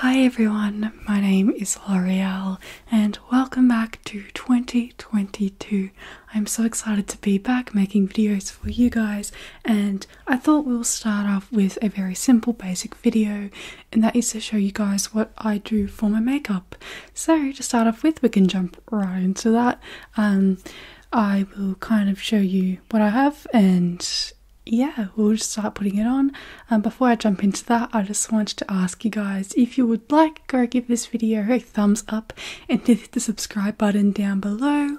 Hi everyone, my name is L'Oreal and welcome back to 2022. I'm so excited to be back making videos for you guys and I thought we'll start off with a very simple basic video and that is to show you guys what I do for my makeup. So to start off with we can jump right into that. Um, I will kind of show you what I have and yeah, we'll just start putting it on. And um, before I jump into that, I just wanted to ask you guys if you would like, go give this video a thumbs up and hit the subscribe button down below.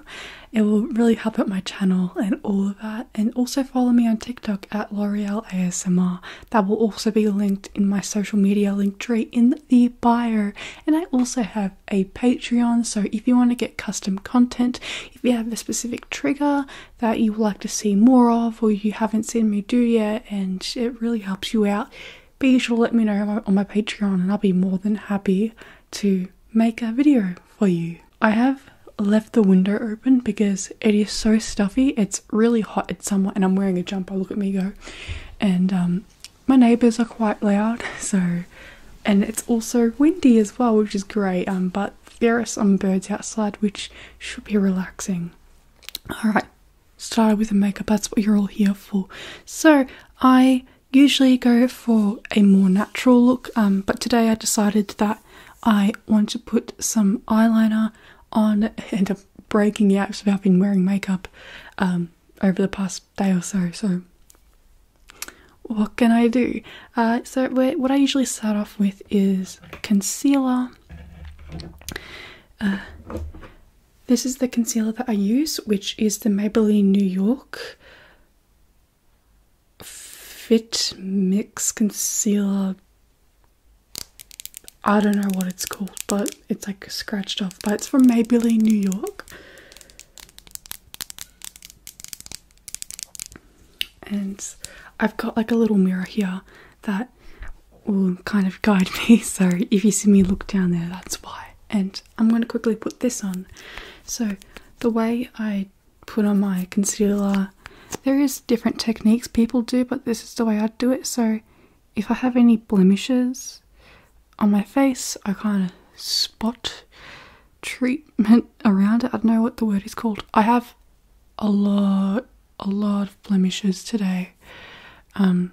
It will really help out my channel and all of that. And also follow me on TikTok at L'Oreal ASMR. That will also be linked in my social media link tree in the bio. And I also have a Patreon, so if you want to get custom content, if you have a specific trigger that you would like to see more of or you haven't seen me do yet and it really helps you out, be sure to let me know on my Patreon and I'll be more than happy to make a video for you. I have left the window open because it is so stuffy. It's really hot. It's summer and I'm wearing a jumper. Look at me go. And um, my neighbors are quite loud. So, and it's also windy as well, which is great. Um, but there are some birds outside, which should be relaxing. Alright, start with the makeup, that's what you're all here for. So, I usually go for a more natural look, um, but today I decided that I want to put some eyeliner on and I'm breaking out because I've been wearing makeup um, over the past day or so. So, what can I do? Uh, so, what I usually start off with is concealer. Uh, this is the concealer that I use, which is the Maybelline New York Fit Mix Concealer. I don't know what it's called, but it's like scratched off. But it's from Maybelline New York. And I've got like a little mirror here that will kind of guide me. So if you see me look down there, that's why. And I'm going to quickly put this on. So the way I put on my concealer, there is different techniques people do, but this is the way I do it. So if I have any blemishes on my face, I kind of spot treatment around it. I don't know what the word is called. I have a lot a lot of blemishes today. Um,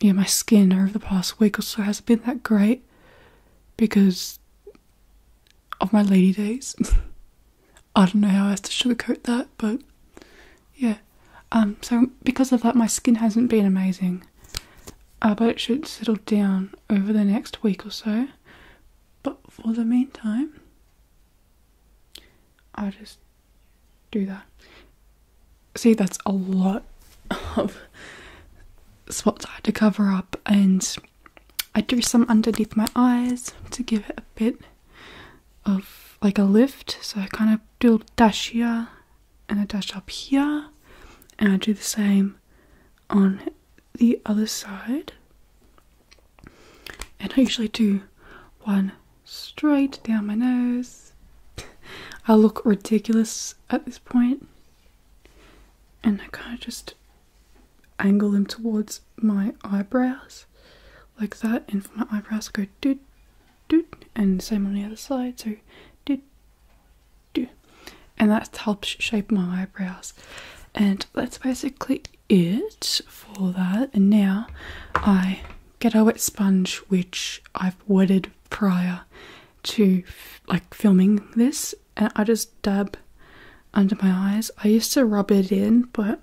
yeah, my skin over the past week or so hasn't been that great because of my lady days. I don't know how else to sugarcoat that, but yeah. Um, so because of that, my skin hasn't been amazing. Uh, but it should settle down over the next week or so. But for the meantime, I just do that. See, that's a lot of spots I had to cover up, and I do some underneath my eyes to give it a bit of like a lift. So I kind of do a dash here and a dash up here, and I do the same on the other side. And I usually do one straight down my nose. I look ridiculous at this And I kind of just angle them towards my eyebrows like that. And for my eyebrows, go doot, doot. And same on the other side. So doot, doot. And that helps shape my eyebrows. And that's basically it for that and now I get a wet sponge which I've wetted prior to like filming this and I just dab under my eyes. I used to rub it in but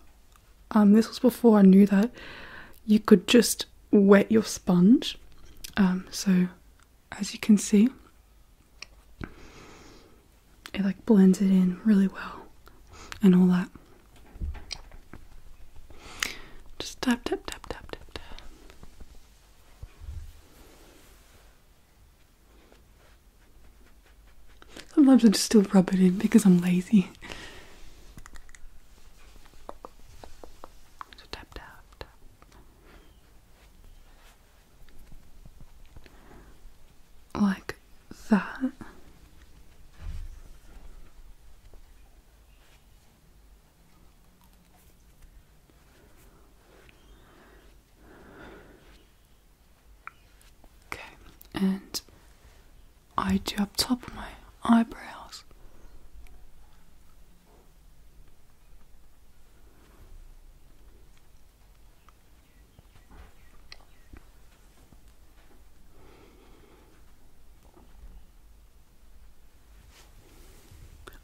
um, this was before I knew that you could just wet your sponge. Um, so as you can see it like blends it in really well and all that. Just tap, tap, tap, tap, tap, Sometimes I just still rub it in because I'm lazy. So tap, tap, tap. Like that. Okay, and I do up top of my eyebrows.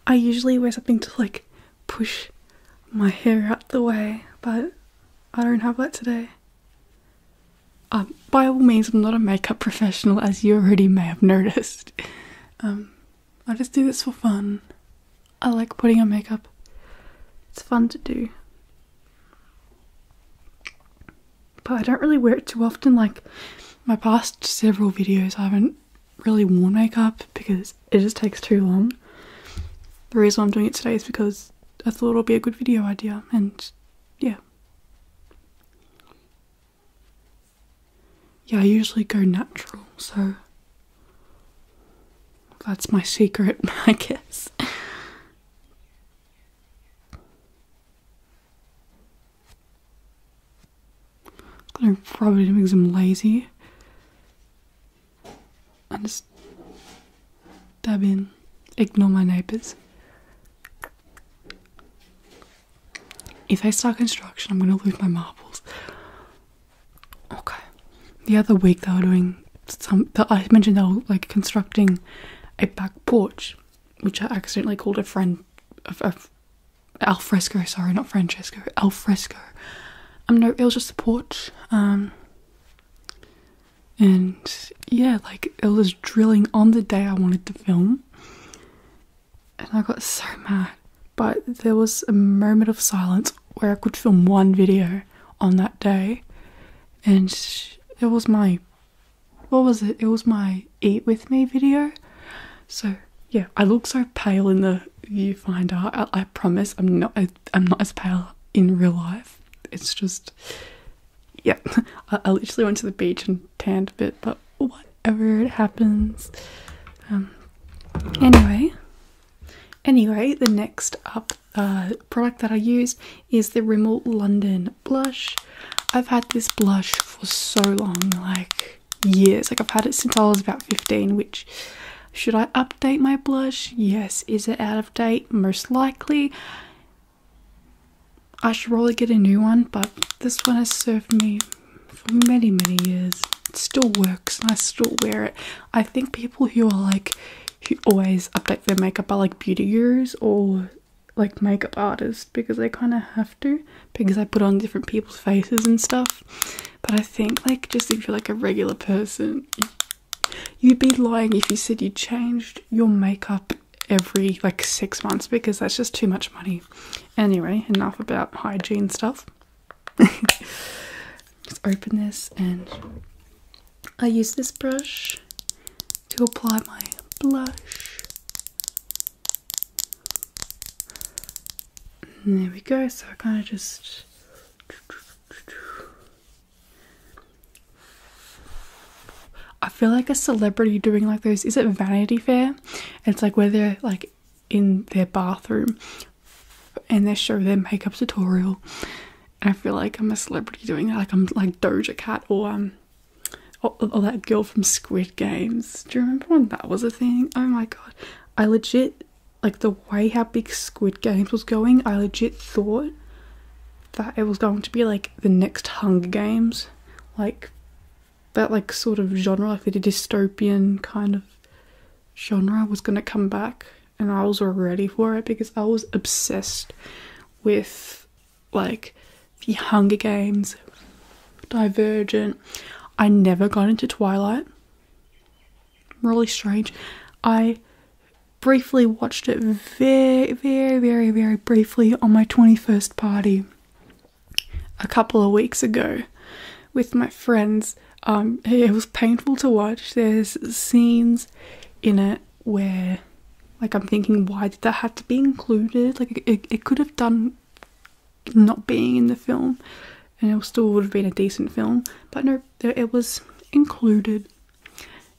I usually wear something to like push my hair out the way, but I don't have that today. Um, by all means, I'm not a makeup professional, as you already may have noticed. Um, I just do this for fun. I like putting on makeup, it's fun to do. But I don't really wear it too often. Like my past several videos, I haven't really worn makeup because it just takes too long. The reason I'm doing it today is because I thought it'll be a good video idea and yeah. Yeah, I usually go natural, so that's my secret, I guess. I'm It's gonna probably make them lazy and just dab in, ignore my neighbours. If they start construction, I'm gonna lose my marbles. Okay. The other week they were doing some I mentioned the whole like constructing a back porch, which I accidentally called a friend of, of alfresco. Sorry, not Francesco. Alfresco. Um, no, it was just the porch. Um, and yeah, like it was drilling on the day I wanted to film, and I got so mad. But there was a moment of silence where I could film one video on that day, and it was my what was it? It was my eat with me video. So yeah, I look so pale in the viewfinder. I, I promise I'm not. I, am not as pale in real life. It's just yeah. I, I literally went to the beach and tanned a bit, but whatever, it happens. Um. Anyway, anyway, the next up uh, product that I use is the Rimmel London blush. I've had this blush for so long, like years. Like I've had it since I was about 15, which should I update my blush? Yes. Is it out of date? Most likely. I should probably get a new one, but this one has served me for many, many years. It still works I still wear it. I think people who are like who always update their makeup are like beauty gurus or like makeup artists because they kind of have to because they put on different people's faces and stuff. But I think like just if you're like a regular person, you'd be lying if you said you changed your makeup every like six months because that's just too much money. Anyway, enough about hygiene stuff. Let's open this and I use this brush to apply my blush. there we go, so I kind of just I feel like a celebrity doing like this. Is it Vanity Fair? it's like where they're like in their bathroom and they show their makeup tutorial I feel like I'm a celebrity doing that. Like I'm like Doja Cat or um or, or that girl from Squid Games. Do you remember when that was a thing? Oh my god. I legit like the way how big Squid Games was going, I legit thought that it was going to be like the next Hunger Games. Like that like sort of genre, like the dystopian kind of genre was gonna come back and I was ready for it because I was obsessed with like the Hunger Games, Divergent. I never got into Twilight. Really strange. I briefly watched it very, very, very, very briefly on my 21st party a couple of weeks ago with my friends. Um, it was painful to watch. There's scenes in it where like i'm thinking why did that have to be included like it, it could have done not being in the film and it still would have been a decent film but no it was included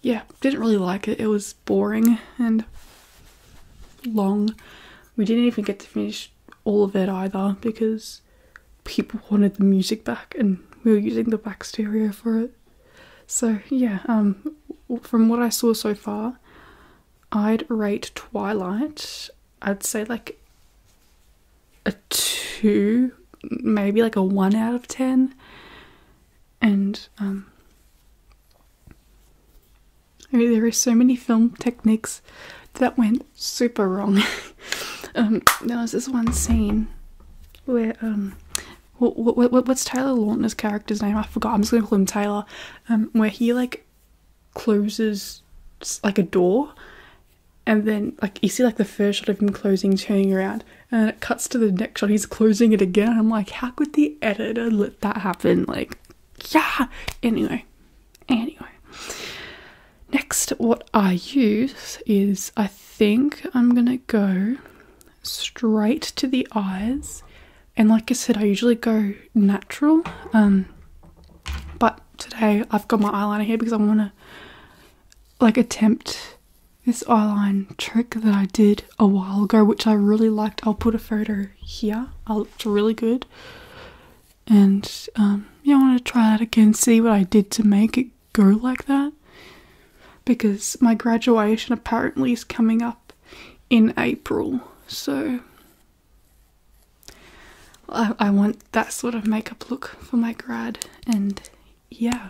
yeah didn't really like it it was boring and long we didn't even get to finish all of it either because people wanted the music back and we were using the back stereo for it so yeah um, from what i saw so far i'd rate twilight i'd say like a 2 maybe like a 1 out of 10 and um, there are so many film techniques that went super wrong. Um, there was this one scene where what, what, what's Tyler Lautner's character's name? I forgot. I'm just gonna call him Taylor. Um, where he like closes like a door, and then like you see like the first shot of him closing, turning around, and it cuts to the next shot. He's closing it again. I'm like, how could the editor let that happen? Like, yeah. Anyway, anyway. Next, what I use is I think I'm gonna go straight to the eyes. And like I said, I usually go natural. Um, but today I've got my eyeliner here because I want to like attempt this eyeline trick that I did a while ago, which I really liked. I'll put a photo here. I looked really good. And um, yeah, I want to try that again, see what I did to make it go like that because my graduation apparently is coming up in April, so I, want that sort of makeup look for my grad, and yeah.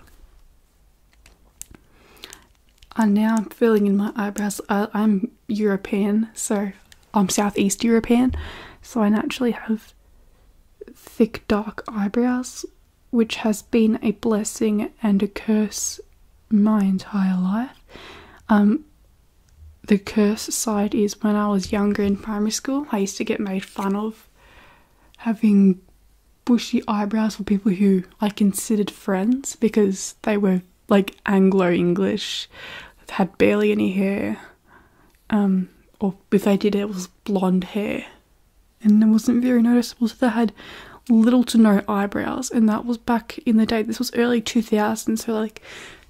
And uh, now I'm filling in my eyebrows. I, I'm European, so I'm Southeast European, so I naturally have thick, dark eyebrows, which has been a blessing and a curse my entire life. Um, the curse side is when I was younger in primary school, I used to get made fun of having bushy eyebrows for people who I considered friends because they were like Anglo English, had barely any hair, um, or if they did, it was blonde hair and it wasn't very noticeable. So they had little to no eyebrows, and that was back in the day. This was early 2000s, so like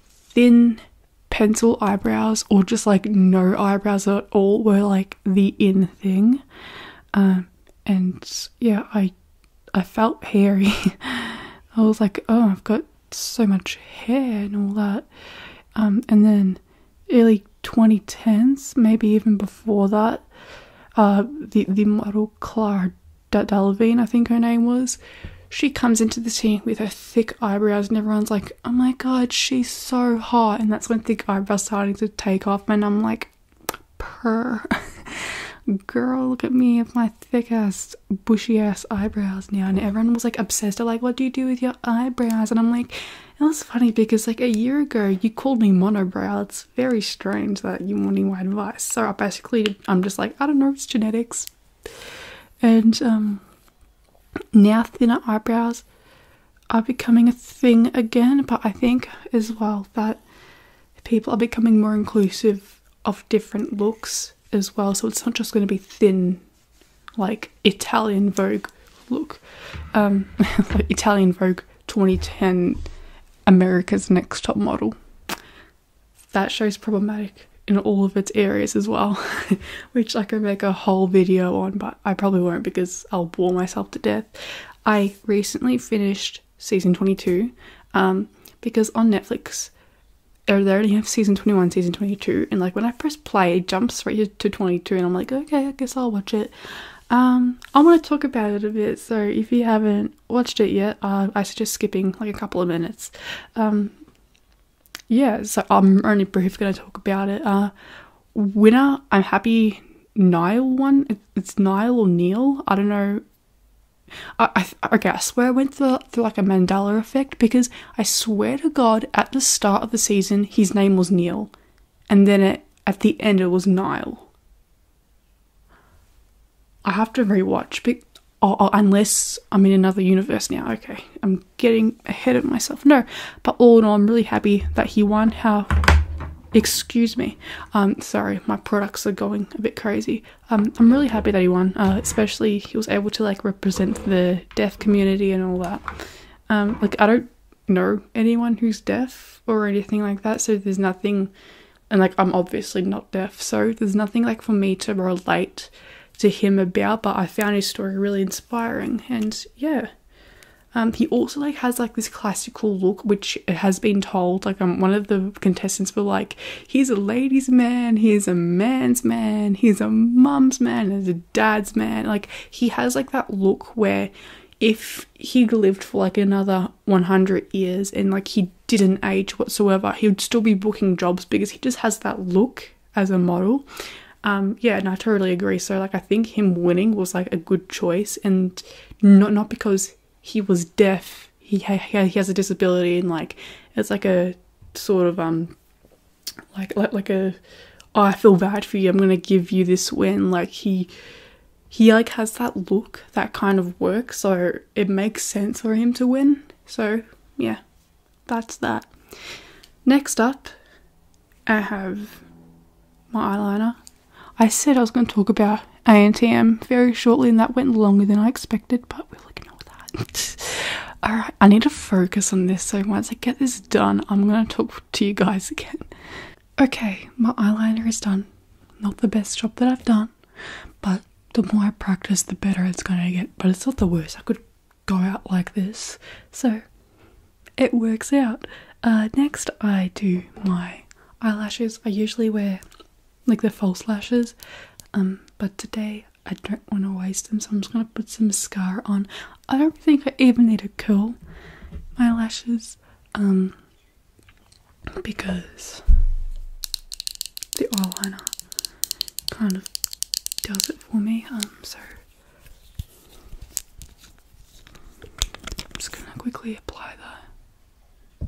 thin pencil eyebrows or just like no eyebrows at all were like the in thing. Um, and yeah, I I felt hairy. I was like, oh, I've got so much hair and all that. Um, and then early 2010s, maybe even before that, uh, the the model Claire Delvine, I think her name was. She comes into the scene with her thick eyebrows, and everyone's like, "Oh my god, she's so hot!" And that's when thick eyebrows starting to take off, and I'm like, "Per, girl, look at me with my thick ass, bushy ass eyebrows now." And everyone was like obsessed. They're like, "What do you do with your eyebrows?" And I'm like, "It was funny because like a year ago, you called me monobrow. It's very strange that you wanting my advice. So I basically, I'm just like, I don't know, it's genetics. And um, now thinner eyebrows are becoming a thing again, but I think as well that people are becoming more inclusive of different looks as well. So it's not just going to be thin, like Italian Vogue look, um, Italian Vogue 2010 America's Next Top Model. That show's problematic in all of its areas as well, which I could make a whole video on, but I probably won't because I'll bore myself to death. I recently finished season 22 um, because on Netflix er, they only have season 21, season 22, and like when I press play, it jumps right to 22, and I'm like, okay, I guess I'll watch it. Um, I want to talk about it a bit, so if you haven't watched it yet, uh, I suggest skipping like a couple of minutes. Um, yeah, so I'm only briefly going to talk about it. Uh, winner, I'm happy Nile one. It's Nile or Neil. I don't know. I, I, okay, I swear I went through, through like a mandala effect because I swear to God, at the start of the season, his name was Neil, and then it, at the end, it was Nile. I have to rewatch, but oh, oh, unless I'm in another universe now. Okay, I'm getting ahead of myself. No, but all in all, I'm really happy that he won. How? Excuse me. Um, sorry, my products are going a bit crazy. Um, I'm really happy that he won. Uh, especially he was able to like represent the deaf community and all that. Um, like I don't know anyone who's deaf or anything like that, so there's nothing and like I'm obviously not deaf, so there's nothing like for me to relate to him about, but I found his story really inspiring and yeah. Um, he also like has like this classical look, which has been told like um, one of the contestants were like, he's a ladies' man, he's a man's man, he's a mum's man, he's a dad's man. Like he has like that look where if he lived for like another 100 years and like he didn't age whatsoever, he would still be booking jobs because he just has that look as a model. Um, yeah, and I totally agree. So like I think him winning was like a good choice, and not not because he was deaf. He he has a disability, and like it's like a sort of um like like like a oh, feel bad for you. I'm gonna give you this win. Like he he like has that look, that kind of work, so it makes sense for him to win. So yeah, that's that. Next up, I have my eyeliner. I said I was going to talk about ANTM very shortly, and that went longer than I expected, but we'll ignore that. Alright, I need to focus on this, so once I get this done, I'm going to talk to you guys again. Okay, my eyeliner is done. Not the best job that I've done, but the more I practice, the better it's gonna get. But it's not the worst. I could go out like this, so it works out. Uh, next, I do my eyelashes. I usually wear like the false lashes, um, but today I don't want to waste them, so I'm just gonna put some mascara on. I don't think I even need to curl my lashes. Um, because the oil liner kind of does it for me. Um, so I'm just gonna quickly apply that.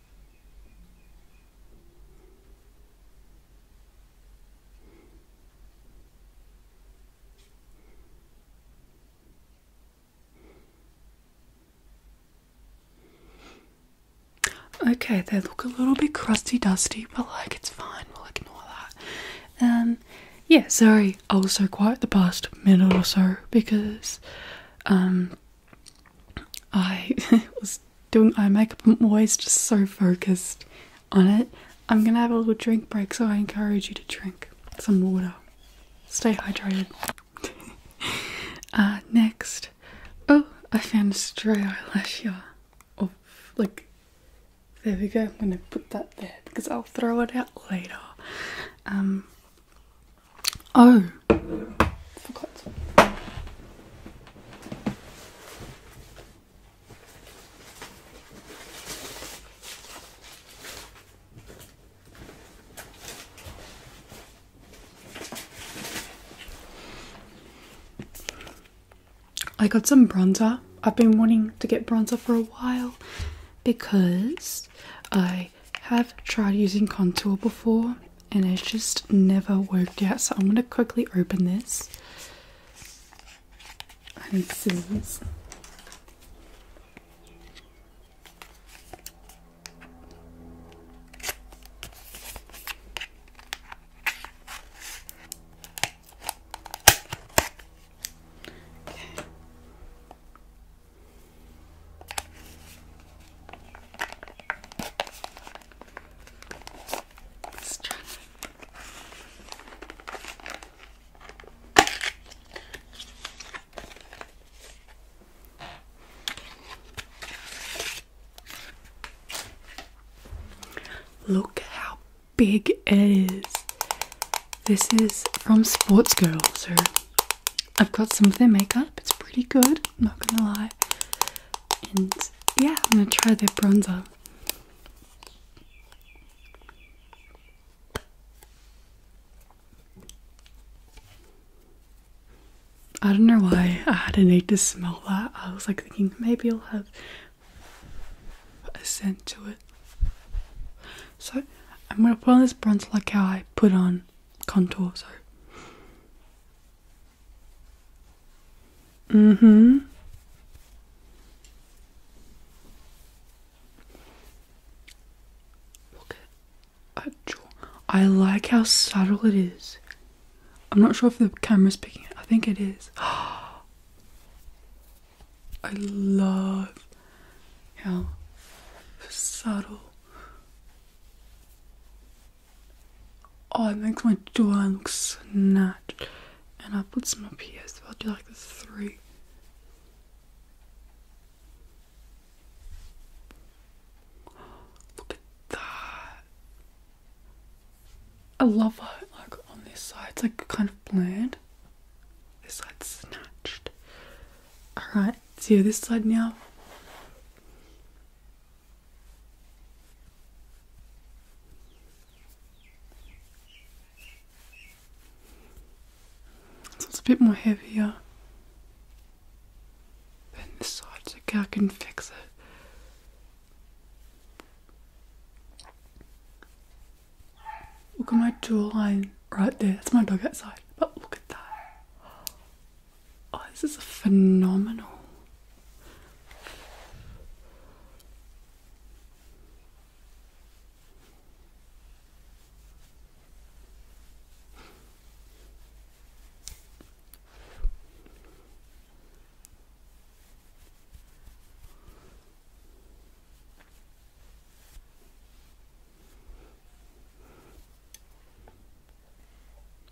Okay, they look a little bit crusty dusty, but like it's fine, we'll ignore that. And um, yeah, sorry, I was so quiet the past minute or so because um I was doing eye makeup. I'm always just so focused on it. I'm gonna have a little drink break, so I encourage you to drink some water. Stay hydrated. Uh, next, oh, I found a stray eyelash here. Oh, like, there we go. I'm gonna put that there because I'll throw it out later. Um, Oh, I got some bronzer. I've been wanting to get bronzer for a while because I I have tried using contour before and it's just never worked out. So I'm going to quickly open this. I need scissors. Look how big it is. This is from Sports Girl, so I've got some of their makeup, it's pretty good, I'm not gonna lie. And yeah, I'm gonna try their bronzer. I don't know why I had a need to smell that. I was like thinking maybe I'll have a scent to it. So I'm gonna put on this bronzer like how I put on contour. So Mm hmm. Look at that I like how subtle it is. I'm not sure if the camera's picking it. I think it is. I love how subtle Oh, it makes my door look snatched. And I put some up here so I'll do like the three. Look at that. I love how like on this side it's like kind of bland. This side snatched. Alright, so this side now. So it's a bit more heavier than this side, so I can fix it. Look at my jawline right there. That's my dog outside. But look at that. Oh, this is phenomenal.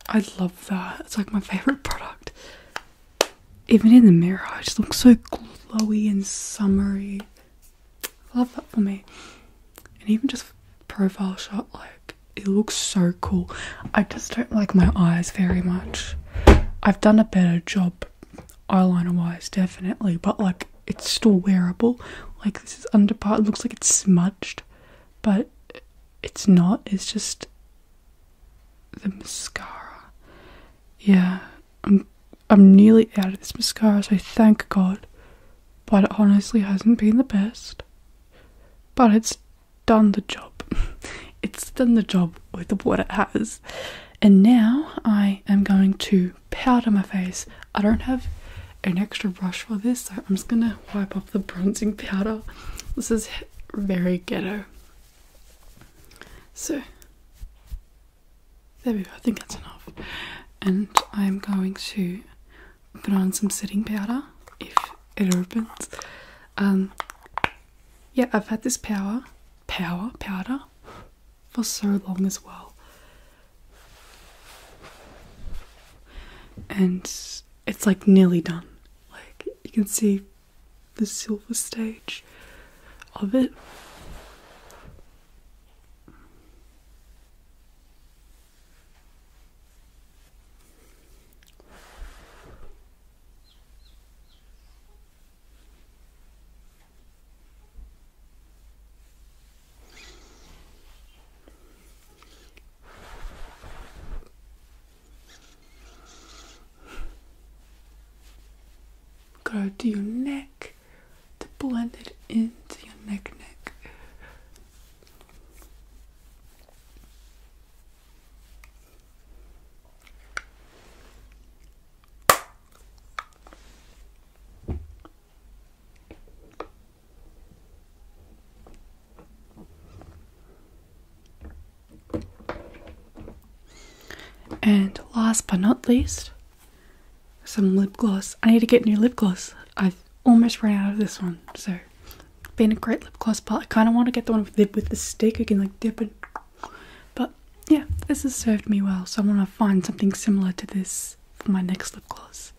I love that. It's like my favorite product. Even in the mirror, it just looks so glowy and summery. love that for me. And even just profile shot, like it looks so cool. I just don't like my eyes very much. I've done a better job eyeliner wise, definitely, but like it's still wearable. Like this is under part, it looks like it's smudged, but it's not, it's just the mascara. Yeah, I'm I'm nearly out of this mascara, so thank God. But it honestly hasn't been the best. But it's done the job. it's done the job with what it has. And now I am going to powder my face. I don't have an extra brush for this, so I'm just gonna wipe off the bronzing powder. This is very ghetto. So, there we go, I think that's enough. And I'm going to put on some setting powder if it opens. Um, yeah, I've had this power, power, powder for so long as well. And it's like nearly done. Like you can see the silver stage of it. Go to your neck to blend it into your neck neck. And last but not least, some lip gloss. I need to get new lip gloss. I've almost ran out of this one, so been a great lip gloss, but I kind of want to get the one with the, with the stick. You can like dip it. But yeah, this has served me well, so I want to find something similar to this for my next lip gloss.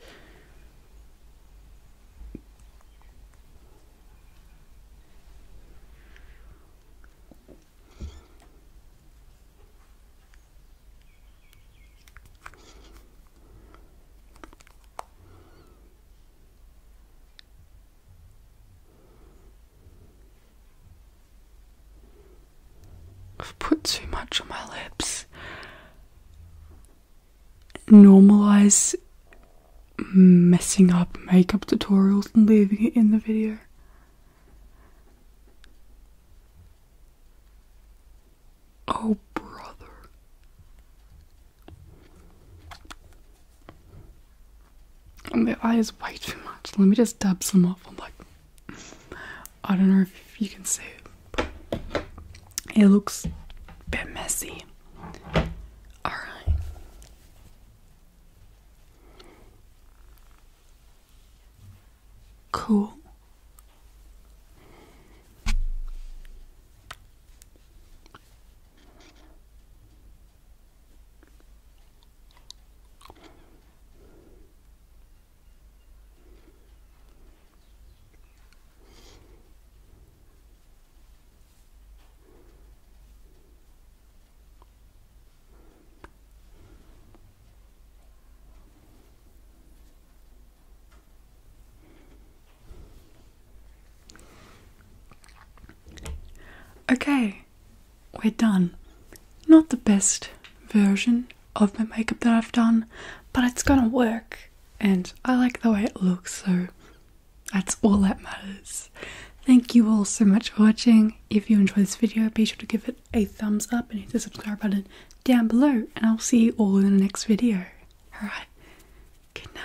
I've put too much on my lips normalize messing up makeup tutorials and leaving it in the video. Oh, brother. And the eyes is way too much. Let me just dab some off. I'm like, I don't know if you can see it. It looks a bit messy. All right. Cool. Okay, we're done. Not the best version of my makeup that I've done, but it's gonna work, and I like the way it looks, so that's all that matters. Thank you all so much for watching. If you enjoyed this video, be sure to give it a thumbs up and hit the subscribe button down below. And I'll see you all in the next video. Alright, good night.